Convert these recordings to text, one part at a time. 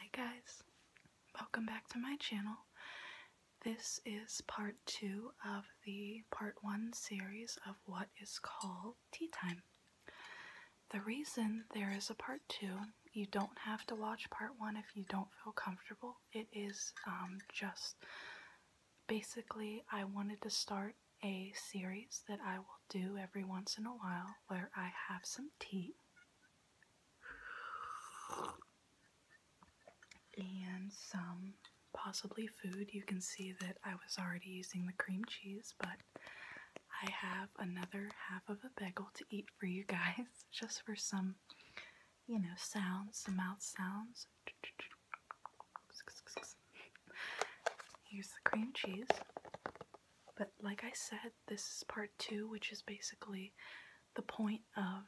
Hi guys, welcome back to my channel. This is part two of the part one series of what is called tea time. The reason there is a part two, you don't have to watch part one if you don't feel comfortable. It is um, just basically I wanted to start a series that I will do every once in a while where I have some tea and some possibly food. You can see that I was already using the cream cheese, but I have another half of a bagel to eat for you guys just for some, you know, sounds, some mouth sounds. Here's the cream cheese. But like I said, this is part two, which is basically the point of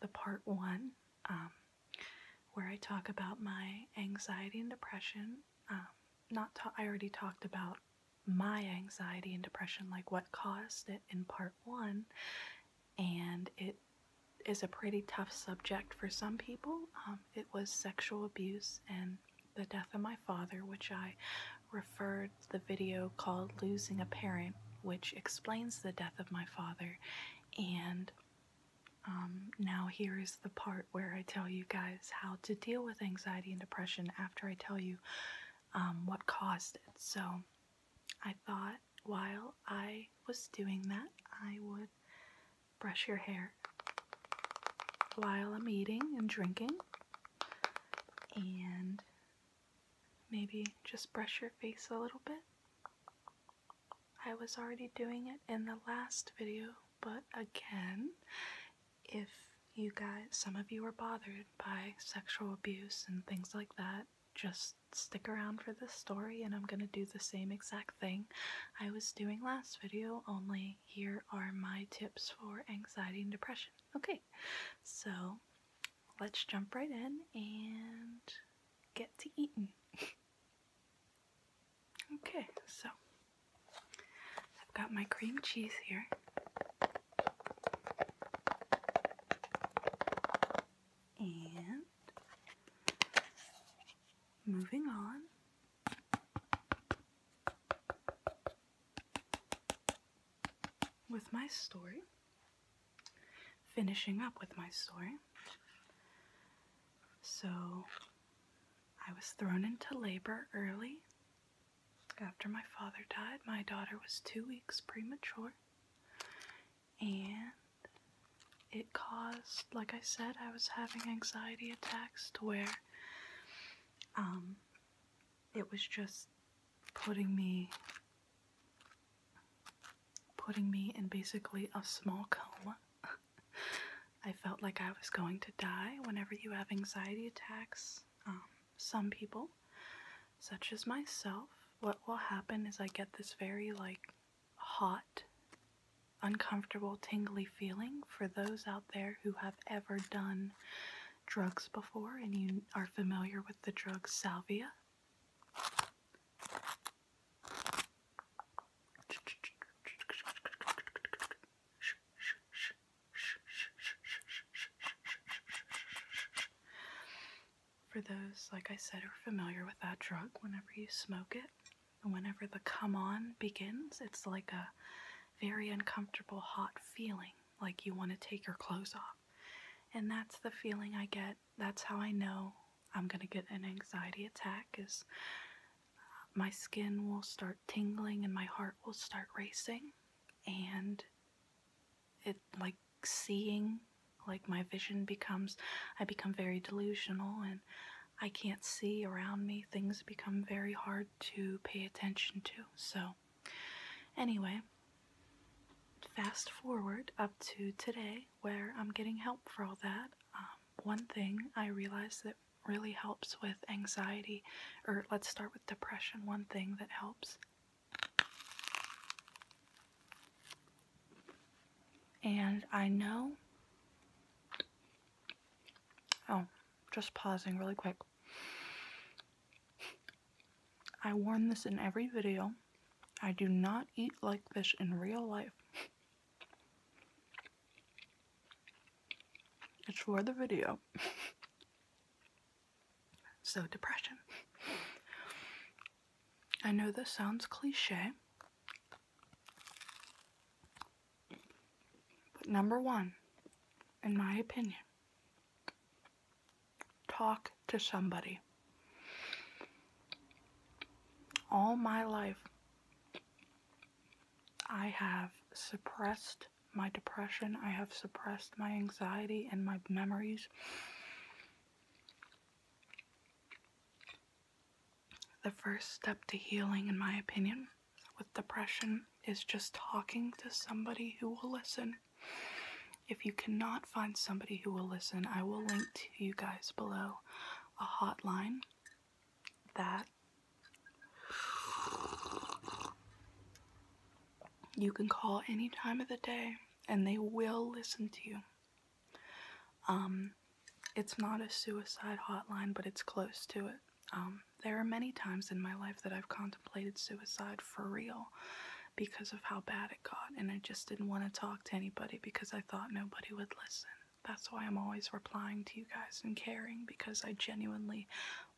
the part one, um, where I talk about my anxiety and depression. Um, not I already talked about my anxiety and depression, like what caused it in part one, and it is a pretty tough subject for some people. Um, it was sexual abuse and the death of my father, which I referred the video called Losing a Parent, which explains the death of my father. And um, now here is the part where I tell you guys how to deal with anxiety and depression after I tell you um, what caused it. So I thought while I was doing that, I would brush your hair while I'm eating and drinking, and maybe just brush your face a little bit. I was already doing it in the last video, but again, if you guys, some of you are bothered by sexual abuse and things like that, just stick around for this story and I'm gonna do the same exact thing I was doing last video, only here are my tips for anxiety and depression. Okay, so let's jump right in and get to eating. okay, so I've got my cream cheese here. And moving on, with my story, finishing up with my story. So, I was thrown into labor early. After my father died, my daughter was two weeks premature, and it it caused, like I said, I was having anxiety attacks to where um, it was just putting me putting me in basically a small coma. I felt like I was going to die whenever you have anxiety attacks. Um, some people, such as myself, what will happen is I get this very like hot, uncomfortable, tingly feeling for those out there who have ever done drugs before and you are familiar with the drug salvia. For those, like I said, are familiar with that drug, whenever you smoke it, whenever the come on begins, it's like a very uncomfortable, hot feeling, like you want to take your clothes off. And that's the feeling I get. That's how I know I'm going to get an anxiety attack is uh, my skin will start tingling and my heart will start racing and it like seeing like my vision becomes I become very delusional and I can't see around me, things become very hard to pay attention to. So, anyway, fast forward up to today where I'm getting help for all that. Um, one thing I realized that really helps with anxiety, or let's start with depression. One thing that helps and I know. Oh, just pausing really quick. I warn this in every video. I do not eat like this in real life. It's for the video. so, depression. I know this sounds cliche, but number one, in my opinion, talk to somebody. All my life, I have suppressed my depression, I have suppressed my anxiety and my memories. The first step to healing, in my opinion, with depression is just talking to somebody who will listen. If you cannot find somebody who will listen, I will link to you guys below a hotline that you can call any time of the day and they will listen to you. Um, it's not a suicide hotline, but it's close to it. Um, there are many times in my life that I've contemplated suicide for real because of how bad it got, and I just didn't want to talk to anybody because I thought nobody would listen. That's why I'm always replying to you guys and caring because I genuinely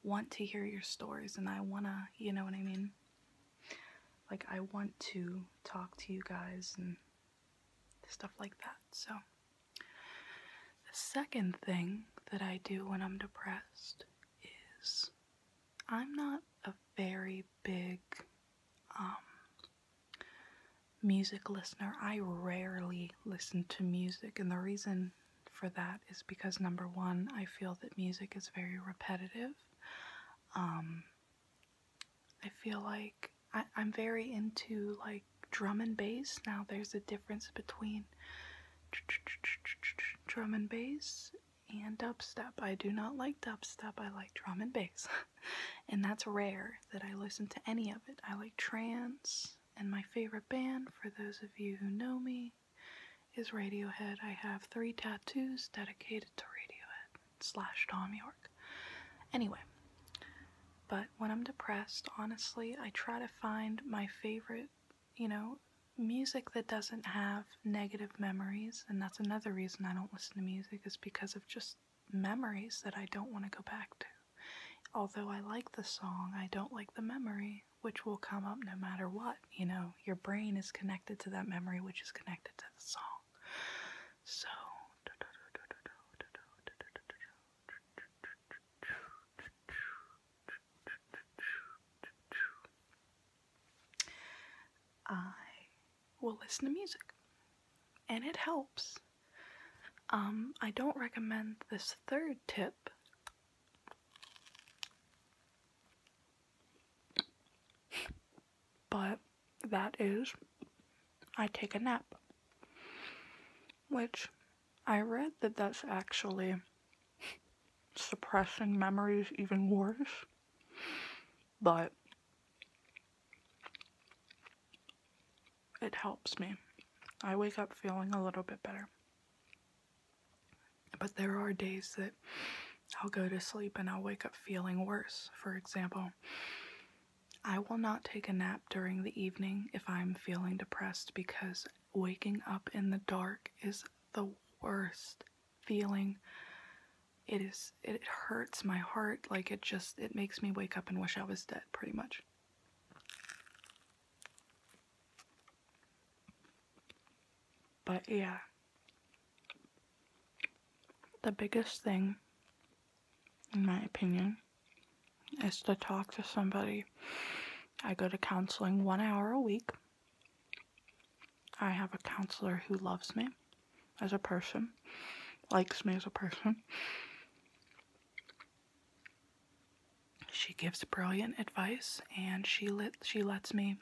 want to hear your stories and I want to, you know what I mean? Like, I want to talk to you guys and stuff like that. So, the second thing that I do when I'm depressed is I'm not a very big um, music listener. I rarely listen to music, and the reason for that is because number one, I feel that music is very repetitive. Um, I feel like I, am very into like drum and bass now. There's a difference between drum and bass and dubstep. I do not like dubstep, I like drum and bass. and that's rare that I listen to any of it. I like trance, and my favorite band, for those of you who know me, is Radiohead. I have three tattoos dedicated to Radiohead slash Tom York. Anyway, but when I'm depressed, honestly, I try to find my favorite, you know, music that doesn't have negative memories. And that's another reason I don't listen to music, is because of just memories that I don't want to go back to. Although I like the song, I don't like the memory, which will come up no matter what. You know, your brain is connected to that memory, which is connected to the song. So I will listen to music and it helps. Um, I don't recommend this third tip but that is, I take a nap. Which I read that that's actually suppressing memories even worse. But it helps me. I wake up feeling a little bit better. But there are days that I'll go to sleep and I'll wake up feeling worse, for example. I will not take a nap during the evening if I'm feeling depressed because waking up in the dark is the worst feeling. It is it hurts my heart like it just it makes me wake up and wish I was dead pretty much. But yeah. The biggest thing, in my opinion, is to talk to somebody. I go to counseling one hour a week. I have a counselor who loves me as a person, likes me as a person. She gives brilliant advice and she let, she lets me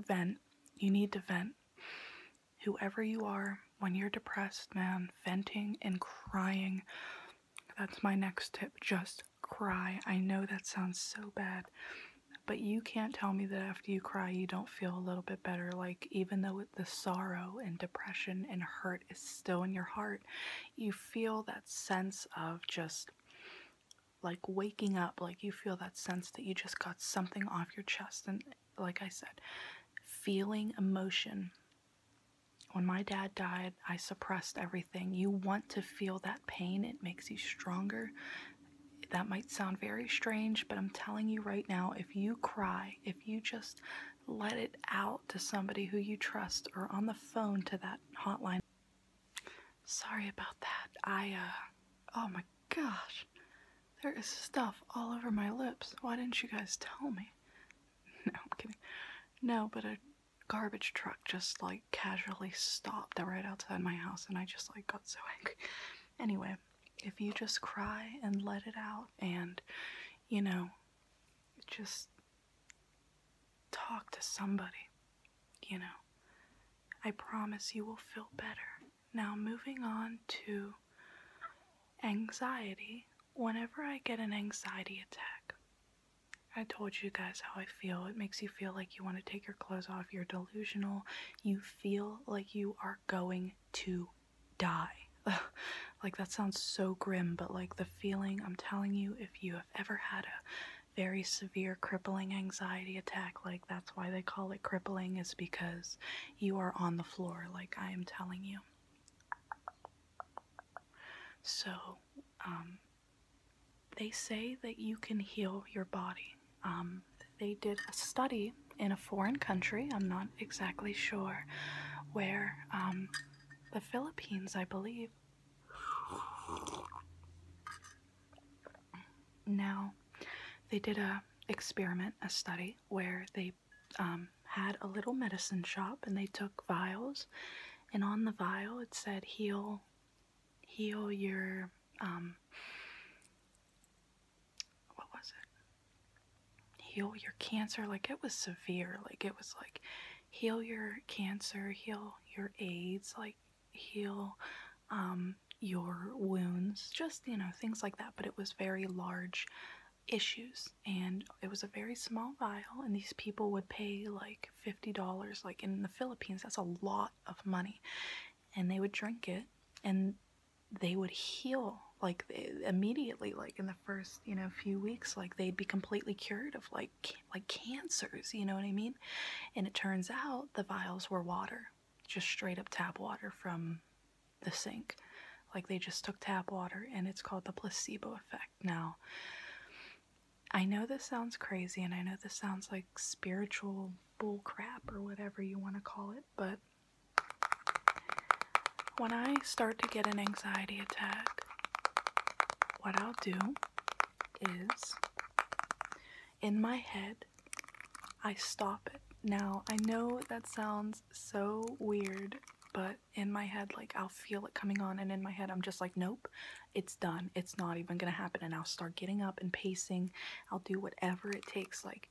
vent. You need to vent. Whoever you are, when you're depressed, man, venting and crying, that's my next tip. Just cry. I know that sounds so bad, but you can't tell me that after you cry, you don't feel a little bit better. Like, even though the sorrow and depression and hurt is still in your heart, you feel that sense of just like waking up like you feel that sense that you just got something off your chest and like i said feeling emotion when my dad died i suppressed everything you want to feel that pain it makes you stronger that might sound very strange but i'm telling you right now if you cry if you just let it out to somebody who you trust or on the phone to that hotline Sorry about that. I, uh, oh my gosh. There is stuff all over my lips. Why didn't you guys tell me? No, I'm kidding. No, but a garbage truck just like casually stopped right outside my house and I just like got so angry. Anyway, if you just cry and let it out and, you know, just talk to somebody you know, I promise you will feel better. Now, moving on to anxiety. Whenever I get an anxiety attack, I told you guys how I feel. It makes you feel like you want to take your clothes off. You're delusional. You feel like you are going to die. like, that sounds so grim, but like the feeling, I'm telling you, if you have ever had a very severe crippling anxiety attack, like that's why they call it crippling, is because you are on the floor, like I am telling you. So, um, they say that you can heal your body. Um, they did a study in a foreign country, I'm not exactly sure, where um, the Philippines, I believe. Now, they did a experiment, a study where they um, had a little medicine shop and they took vials, and on the vial it said heal, heal your um, what was it? Heal your cancer. Like it was severe. Like it was like heal your cancer, heal your AIDS, like heal um, your wounds, just, you know, things like that. But it was very large issues and it was a very small vial and these people would pay like $50 like in the Philippines that's a lot of money and they would drink it and they would heal like immediately like in the first you know few weeks like they'd be completely cured of like like cancers you know what i mean and it turns out the vials were water, just straight up tap water from the sink. Like they just took tap water, and it's called the placebo effect. Now, I know this sounds crazy, and I know this sounds like spiritual bull crap or whatever you want to call it, but when I start to get an anxiety attack, what I'll do is in my head, I stop it. Now, I know that sounds so weird, but in my head, like, I'll feel it coming on, and in my head, I'm just like, nope, it's done. It's not even gonna happen. And I'll start getting up and pacing. I'll do whatever it takes. Like,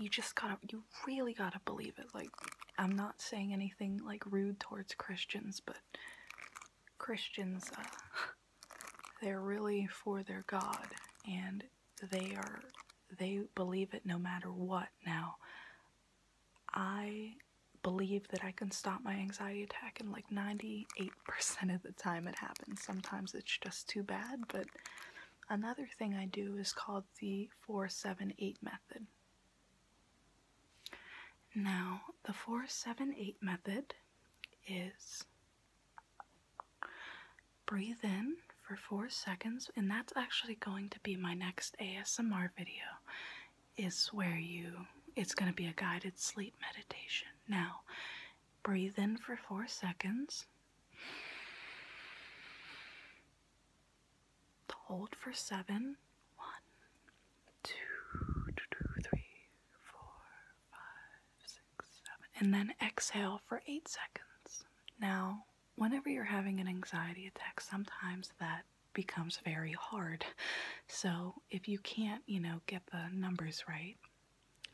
you just gotta, you really gotta believe it. Like, I'm not saying anything like rude towards Christians, but Christians, uh, they're really for their God and they are they believe it no matter what. Now, I believe that I can stop my anxiety attack and like 98% of the time it happens. Sometimes it's just too bad, but another thing I do is called the 4-7-8 method. Now, the 478 method is breathe in for four seconds, and that's actually going to be my next ASMR video. Is where you it's going to be a guided sleep meditation. Now, breathe in for four seconds, hold for seven. One, two, two, three, four, five, six, seven. And then exhale for eight seconds. Now, whenever you're having an anxiety attack, sometimes that becomes very hard. So if you can't, you know, get the numbers right,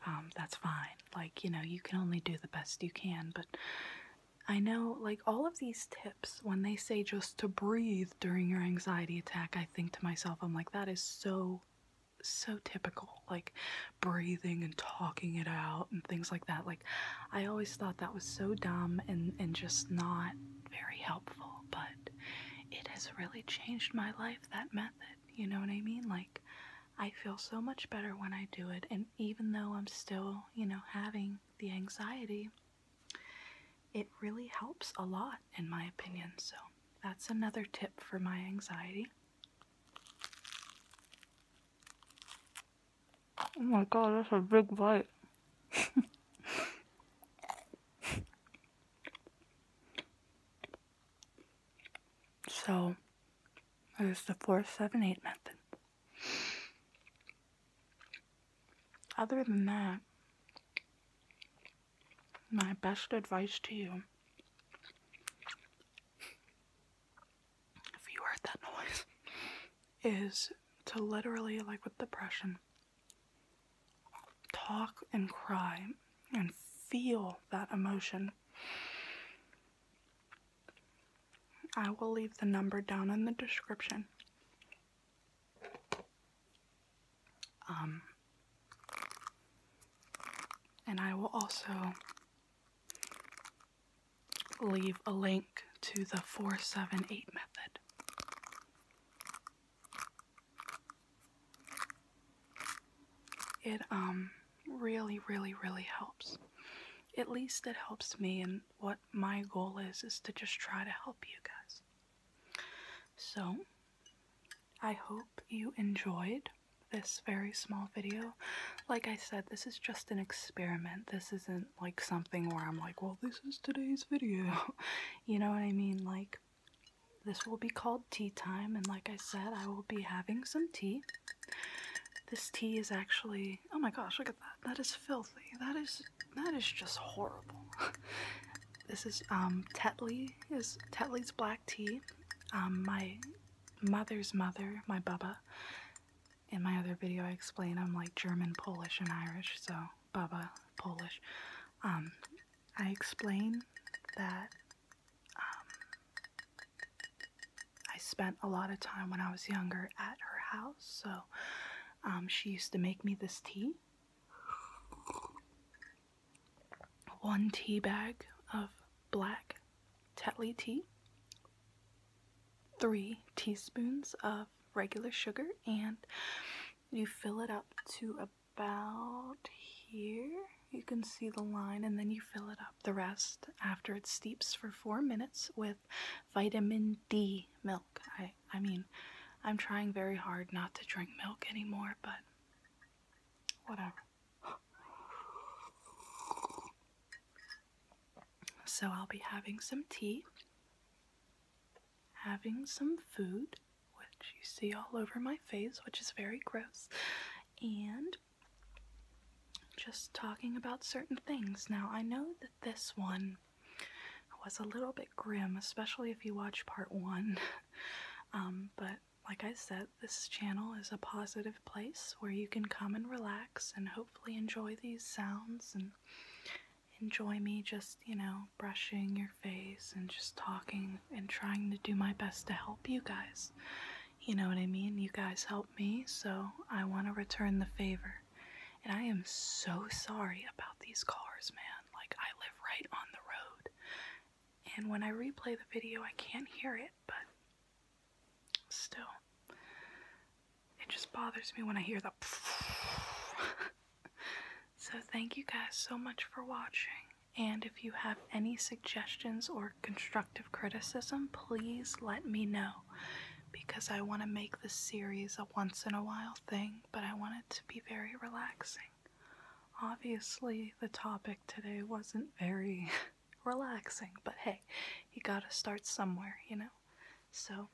um, that's fine. Like, you know, you can only do the best you can. But I know, like, all of these tips, when they say just to breathe during your anxiety attack, I think to myself, I'm like, that is so, so typical. Like breathing and talking it out and things like that. Like, I always thought that was so dumb and, and just not very helpful, but it has really changed my life, that method. You know what I mean? Like, I feel so much better when I do it. And even though I'm still, you know, having the anxiety, it really helps a lot, in my opinion, so that's another tip for my anxiety. Oh my god, that's a big bite. so, there's the 478 method. Other than that, my best advice to you if you heard that noise is to literally, like with depression, talk and cry and feel that emotion. I will leave the number down in the description. Um, and I will also leave a link to the 478 method. It um, really, really, really helps. At least it helps me, and what my goal is is to just try to help you guys. So, I hope you enjoyed this very small video. Like I said, this is just an experiment. This isn't like something where I'm like, well, this is today's video. you know what I mean? Like, this will be called tea time, and like I said, I will be having some tea. This tea is actually, oh my gosh, look at that. That is filthy. That is that is just horrible. this is um, Tetley is Tetley's black tea. Um, my mother's mother, my bubba. In my other video I explain I'm like German, Polish, and Irish, so bubba, Polish. Um, I explain that I spent a lot of time when I was younger at her house, so um, she used to make me this tea. One tea bag of black Tetley tea, three teaspoons of regular sugar, and you fill it up to about here. You can see the line, and then you fill it up the rest after it steeps for four minutes with vitamin D milk. I I mean, I'm trying very hard not to drink milk anymore, but whatever. So I'll be having some tea, having some food, which you see all over my face, which is very gross, and just talking about certain things. Now, I know that this one was a little bit grim, especially if you watch part one. Um, but like I said, this channel is a positive place where you can come and relax and hopefully enjoy these sounds and enjoy me just, you know, brushing your face and just talking and trying to do my best to help you guys. You know what I mean? You guys help me, so I want to return the favor. And I am so sorry about these cars, man. Like, I live right on the road. And when I replay the video, I can't hear it, but still. It just bothers me when I hear the So thank you guys so much for watching. And if you have any suggestions or constructive criticism, please let me know because I want to make this series a once in a while thing, but I want it to be very relaxing. Obviously, the topic today wasn't very relaxing, but hey, you gotta start somewhere, you know? So,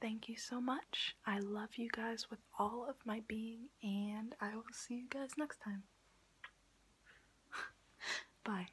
thank you so much. I love you guys with all of my being, and I will see you guys next time. Bye.